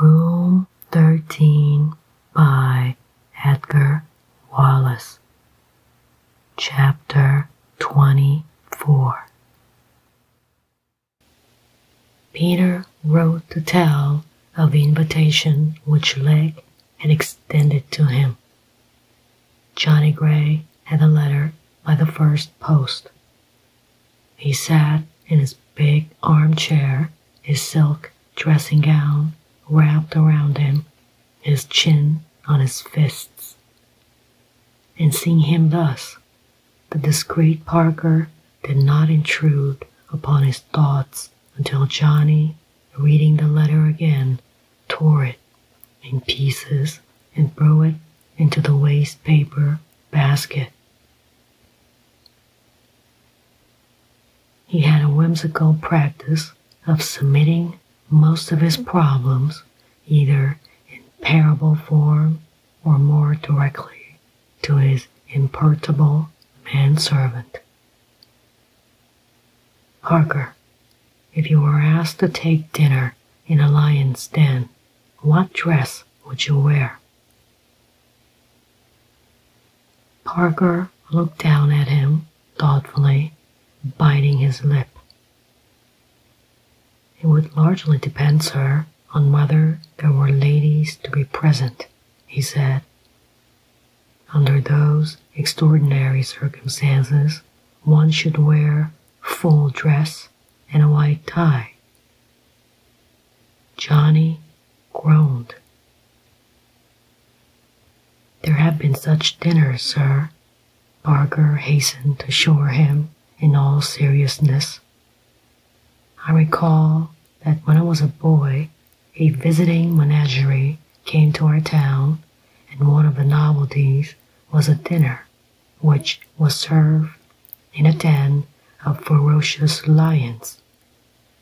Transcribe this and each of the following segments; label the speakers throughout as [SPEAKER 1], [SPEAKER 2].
[SPEAKER 1] Room 13 by Edgar Wallace. Chapter 24 Peter wrote to tell of the invitation which Leg had extended to him. Johnny Gray had the letter by the first post he sat in his big armchair, his silk dressing gown wrapped around him, his chin on his fists. And seeing him thus, the discreet Parker did not intrude upon his thoughts until Johnny, reading the letter again, tore it in pieces and threw it into the waste paper basket. He had a whimsical practice of submitting most of his problems either in parable form or more directly to his imperturbable manservant. Parker, if you were asked to take dinner in a lion's den, what dress would you wear? Parker looked down at him thoughtfully, biting his lip. It would largely depend, sir, on whether there were ladies to be present, he said. Under those extraordinary circumstances, one should wear full dress and a white tie. Johnny groaned. There have been such dinners, sir. Barker hastened to assure him in all seriousness. I recall that when I was a boy, a visiting menagerie came to our town, and one of the novelties was a dinner which was served in a den of ferocious lions.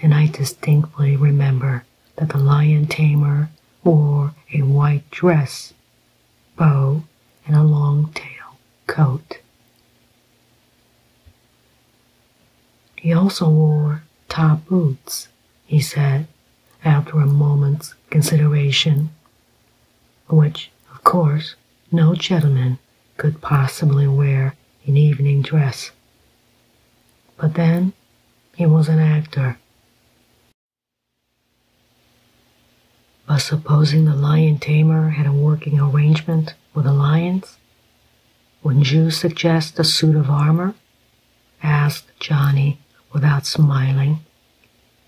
[SPEAKER 1] And I distinctly remember that the lion tamer wore a white dress, bow, and a long tail coat. He also wore top boots, he said, after a moment's consideration which, of course, no gentleman could possibly wear in evening dress. But then, he was an actor. But supposing the lion tamer had a working arrangement with the lions? Wouldn't you suggest a suit of armor? asked Johnny without smiling,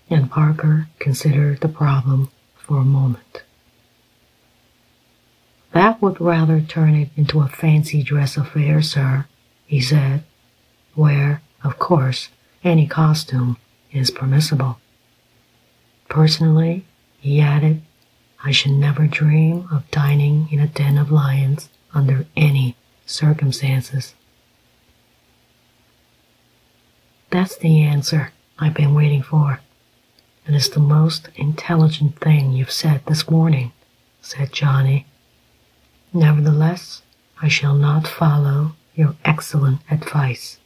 [SPEAKER 1] and Parker considered the problem for a moment. That would rather turn it into a fancy dress affair, sir, he said, where, of course, any costume is permissible. Personally, he added, I should never dream of dining in a den of lions under any circumstances. That's the answer I've been waiting for. It is the most intelligent thing you've said this morning, said Johnny. Nevertheless, I shall not follow your excellent advice.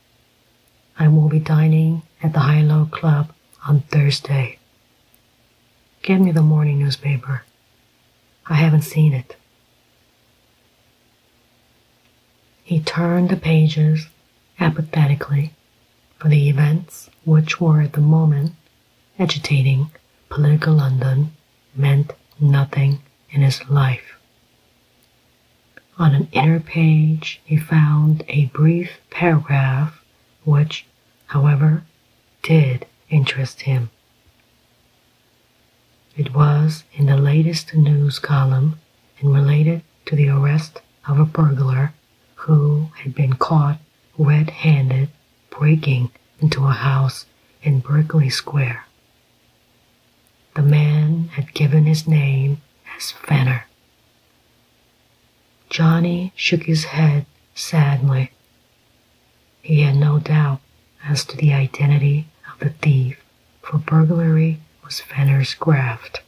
[SPEAKER 1] I will be dining at the High Low Club on Thursday. Give me the morning newspaper. I haven't seen it. He turned the pages apathetically for the events which were at the moment agitating political London meant nothing in his life. On an inner page, he found a brief paragraph which, however, did interest him. It was in the latest news column and related to the arrest of a burglar who had been caught red handed breaking into a house in Berkeley Square. The man had given his name as Fenner. Johnny shook his head sadly. He had no doubt as to the identity of the thief, for burglary was Fenner's graft.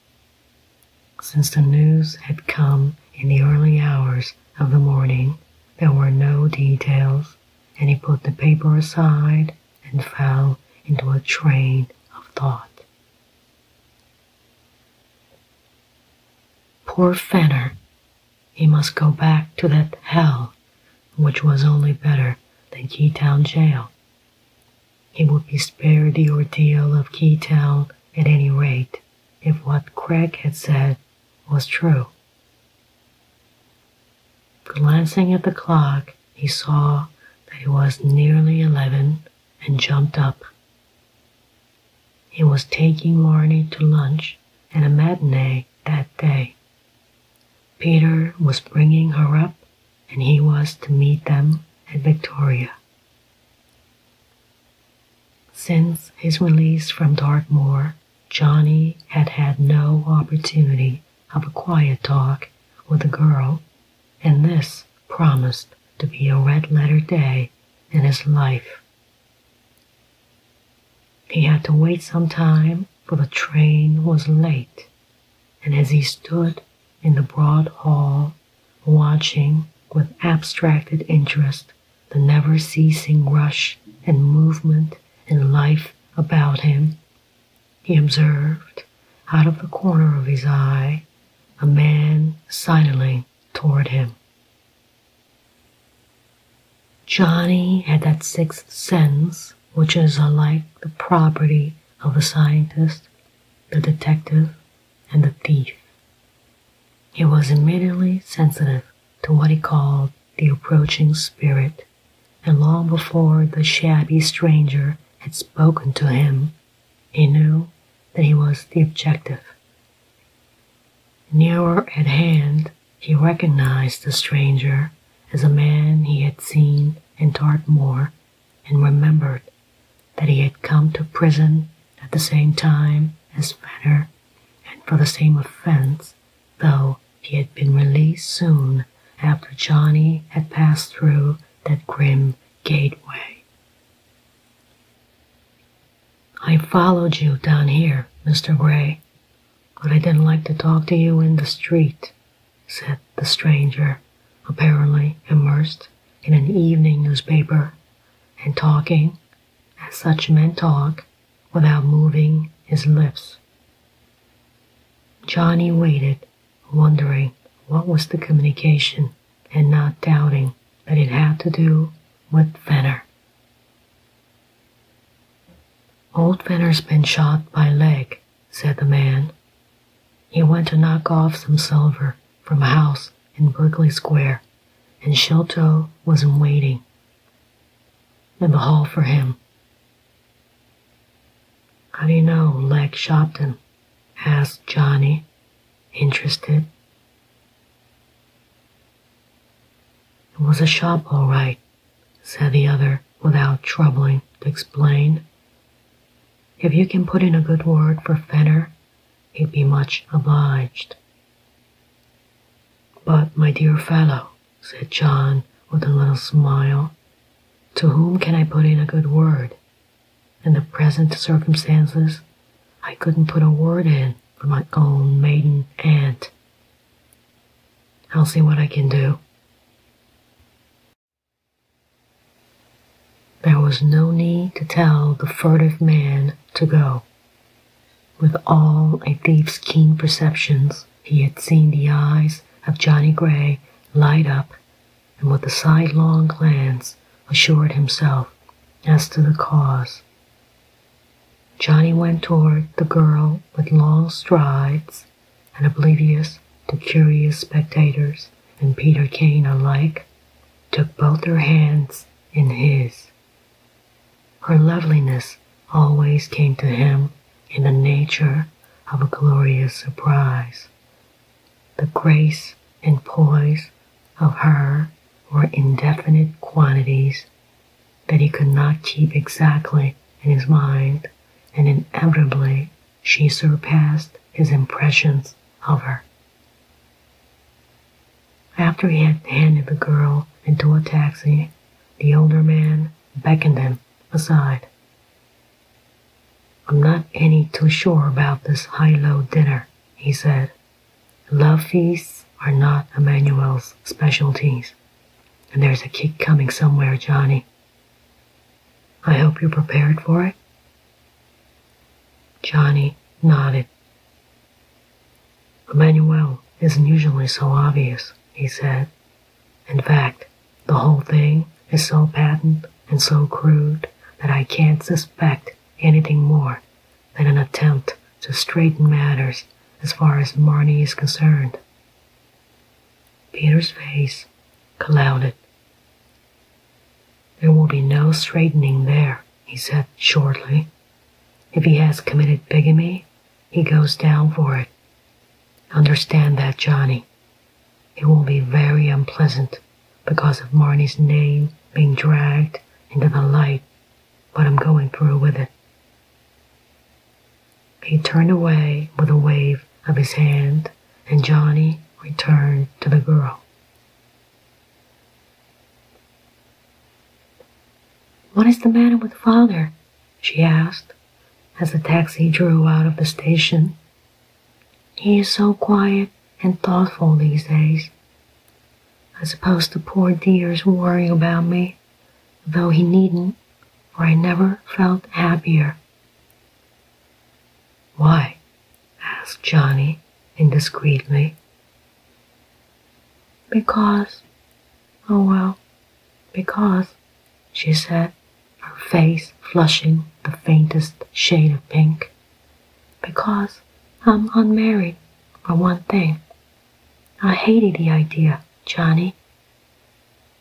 [SPEAKER 1] Since the news had come in the early hours of the morning, there were no details, and he put the paper aside and fell into a train of thought. Poor Fenner! He must go back to that hell, which was only better than Keytown jail. He would be spared the ordeal of Keytown at any rate, if what Craig had said was true. Glancing at the clock, he saw that it was nearly eleven and jumped up. He was taking Marnie to lunch at a matinee that day. Peter was bringing her up and he was to meet them at Victoria. Since his release from Dartmoor, Johnny had had no opportunity of a quiet talk with the girl, and this promised to be a red letter day in his life. He had to wait some time, for the train was late, and as he stood in the broad hall, watching with abstracted interest the never ceasing rush and movement and life about him. He observed, out of the corner of his eye, a man silently toward him. Johnny had that sixth sense, which is like the property of the scientist, the detective, and the thief. He was immediately sensitive to what he called the approaching spirit, and long before the shabby stranger had spoken to him, he knew that he was the objective. Nearer at hand, he recognized the stranger as a man he had seen in Dartmoor and remembered that he had come to prison at the same time as Fenner and for the same offense, though he had been released soon after Johnny had passed through that grim gateway. I followed you down here, Mr. Gray, but I didn't like to talk to you in the street, said the stranger, apparently immersed in an evening newspaper and talking as such men talk without moving his lips. Johnny waited, wondering what was the communication and not doubting that it had to do with Venner. Old venner has been shot by leg, said the man. He went to knock off some silver from a house in Berkeley Square, and Sholto was in waiting in the hall for him. How do you know Leg Shopton? asked Johnny, interested. It was a shop, all right, said the other without troubling to explain. If you can put in a good word for Fenner, he'd be much obliged. But, my dear fellow, said John with a little smile, to whom can I put in a good word? In the present circumstances, I couldn't put a word in for my own maiden aunt. I'll see what I can do. There was no need to tell the furtive man to go. With all a thief's keen perceptions, he had seen the eyes of Johnny Gray light up, and with a sidelong glance assured himself as to the cause. Johnny went toward the girl with long strides and oblivious to curious spectators and Peter Kane alike, took both her hands in his. Her loveliness always came to him in the nature of a glorious surprise. The grace and poise of her were indefinite quantities that he could not keep exactly in his mind, and inevitably she surpassed his impressions of her. After he had handed the girl into a taxi, the older man beckoned him aside. I'm not any too sure about this high-low dinner, he said. Love feasts are not Emmanuel's specialties. And there's a kick coming somewhere, Johnny. I hope you're prepared for it. Johnny nodded. Emmanuel isn't usually so obvious, he said. In fact, the whole thing is so patent and so crude that I can't suspect anything more than an attempt to straighten matters as far as Marnie is concerned. Peter's face clouded. There will be no straightening there, he said shortly. If he has committed bigamy, he goes down for it. Understand that, Johnny. It will be very unpleasant because of Marnie's name being dragged into the light, but I'm going through with it. He turned away with a wave of his hand, and Johnny returned to the girl. What is the matter with father? she asked as the taxi drew out of the station. He is so quiet and thoughtful these days. I suppose the poor dear is worrying about me, though he needn't, for I never felt happier. Why? asked Johnny indiscreetly. Because, oh well, because, she said, her face flushing the faintest shade of pink. Because I'm unmarried, for one thing. I hated the idea, Johnny,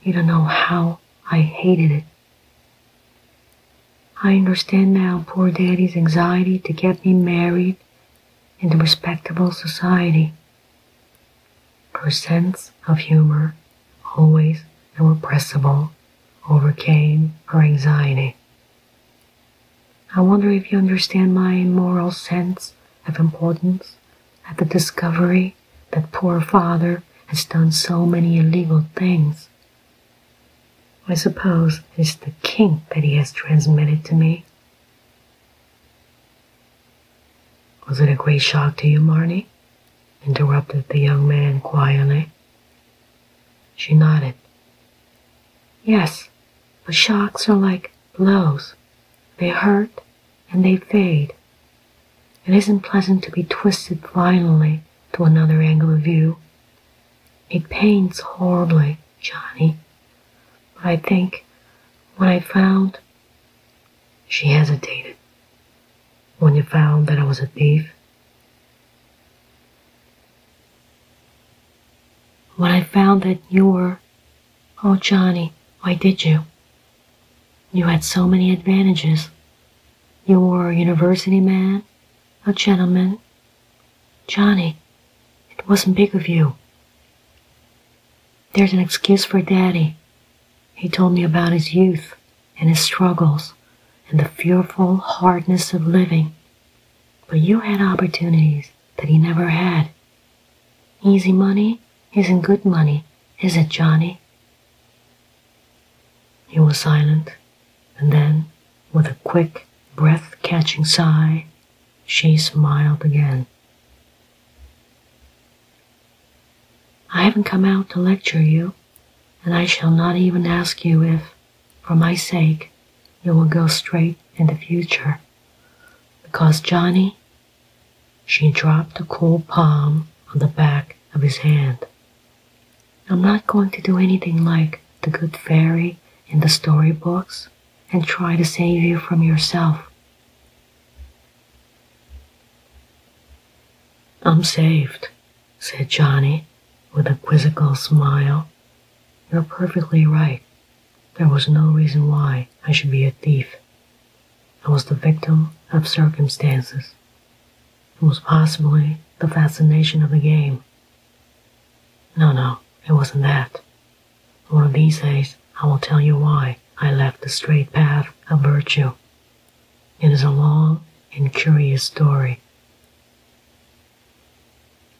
[SPEAKER 1] you don't know how I hated it. I understand now poor daddy's anxiety to get me married into respectable society. Her sense of humor, always irrepressible, overcame her anxiety. I wonder if you understand my moral sense of importance at the discovery that poor father has done so many illegal things. I suppose it's the kink that he has transmitted to me. Was it a great shock to you, Marnie? interrupted the young man quietly. She nodded. Yes, but shocks are like blows. They hurt and they fade. It isn't pleasant to be twisted finally to another angle of view. It pains horribly, Johnny. But I think when I found... She hesitated. When you found that I was a thief? When I found that you were... Oh, Johnny, why did you? You had so many advantages. You were a university man, a gentleman. Johnny, it wasn't big of you. There's an excuse for Daddy. He told me about his youth and his struggles and the fearful hardness of living. But you had opportunities that he never had. Easy money isn't good money, is it, Johnny? He was silent, and then, with a quick, breath catching sigh, she smiled again. I haven't come out to lecture you, and I shall not even ask you if, for my sake, you will go straight in the future. Because, Johnny, she dropped a cold palm on the back of his hand. I'm not going to do anything like the good fairy in the story books and try to save you from yourself. I'm saved, said Johnny with a quizzical smile. You're perfectly right. There was no reason why I should be a thief. I was the victim of circumstances. It was possibly the fascination of the game. No, no, it wasn't that. One of these days, I will tell you why I left the straight path of virtue. It is a long and curious story.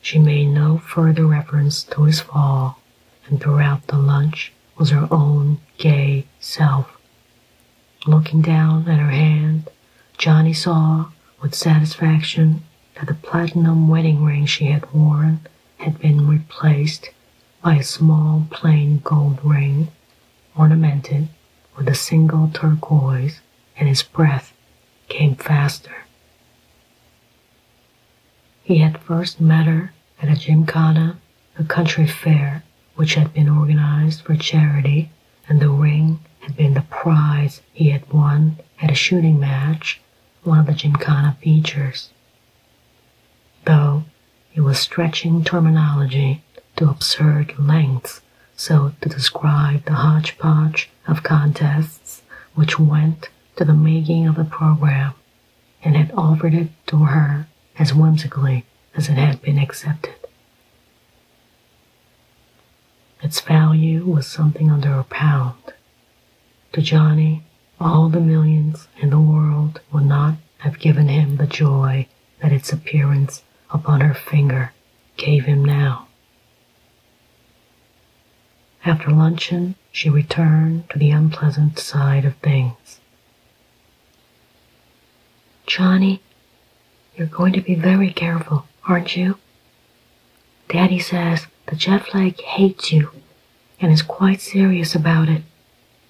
[SPEAKER 1] She made no further reference to his fall, and throughout the lunch, was her own gay self. Looking down at her hand, Johnny saw with satisfaction that the platinum wedding ring she had worn had been replaced by a small plain gold ring ornamented with a single turquoise, and his breath came faster. He had first met her at a gymkhana a country fair which had been organized for charity, and the ring had been the prize he had won at a shooting match, one of the Gymkhana features. Though it was stretching terminology to absurd lengths so to describe the hodgepodge of contests which went to the making of the program and had offered it to her as whimsically as it had been accepted. Its value was something under a pound. To Johnny, all the millions in the world would not have given him the joy that its appearance upon her finger gave him now. After luncheon, she returned to the unpleasant side of things. Johnny, you're going to be very careful, aren't you? Daddy says the jet flag hates you and is quite serious about it.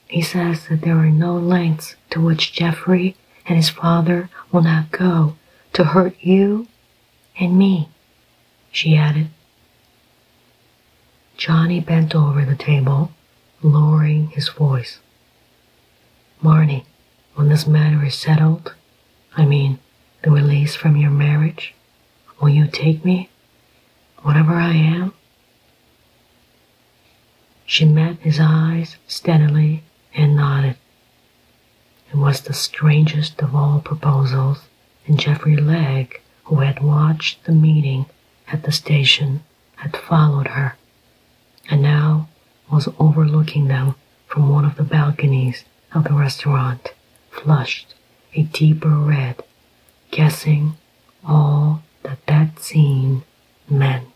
[SPEAKER 1] He says that there are no lengths to which Jeffrey and his father will not go to hurt you and me, she added. Johnny bent over the table, lowering his voice. Marnie, when this matter is settled, I mean, the release from your marriage, will you take me, whatever I am? She met his eyes steadily and nodded. It was the strangest of all proposals, and Jeffrey Legg, who had watched the meeting at the station, had followed her, and now was overlooking them from one of the balconies of the restaurant, flushed a deeper red, guessing all that that scene meant.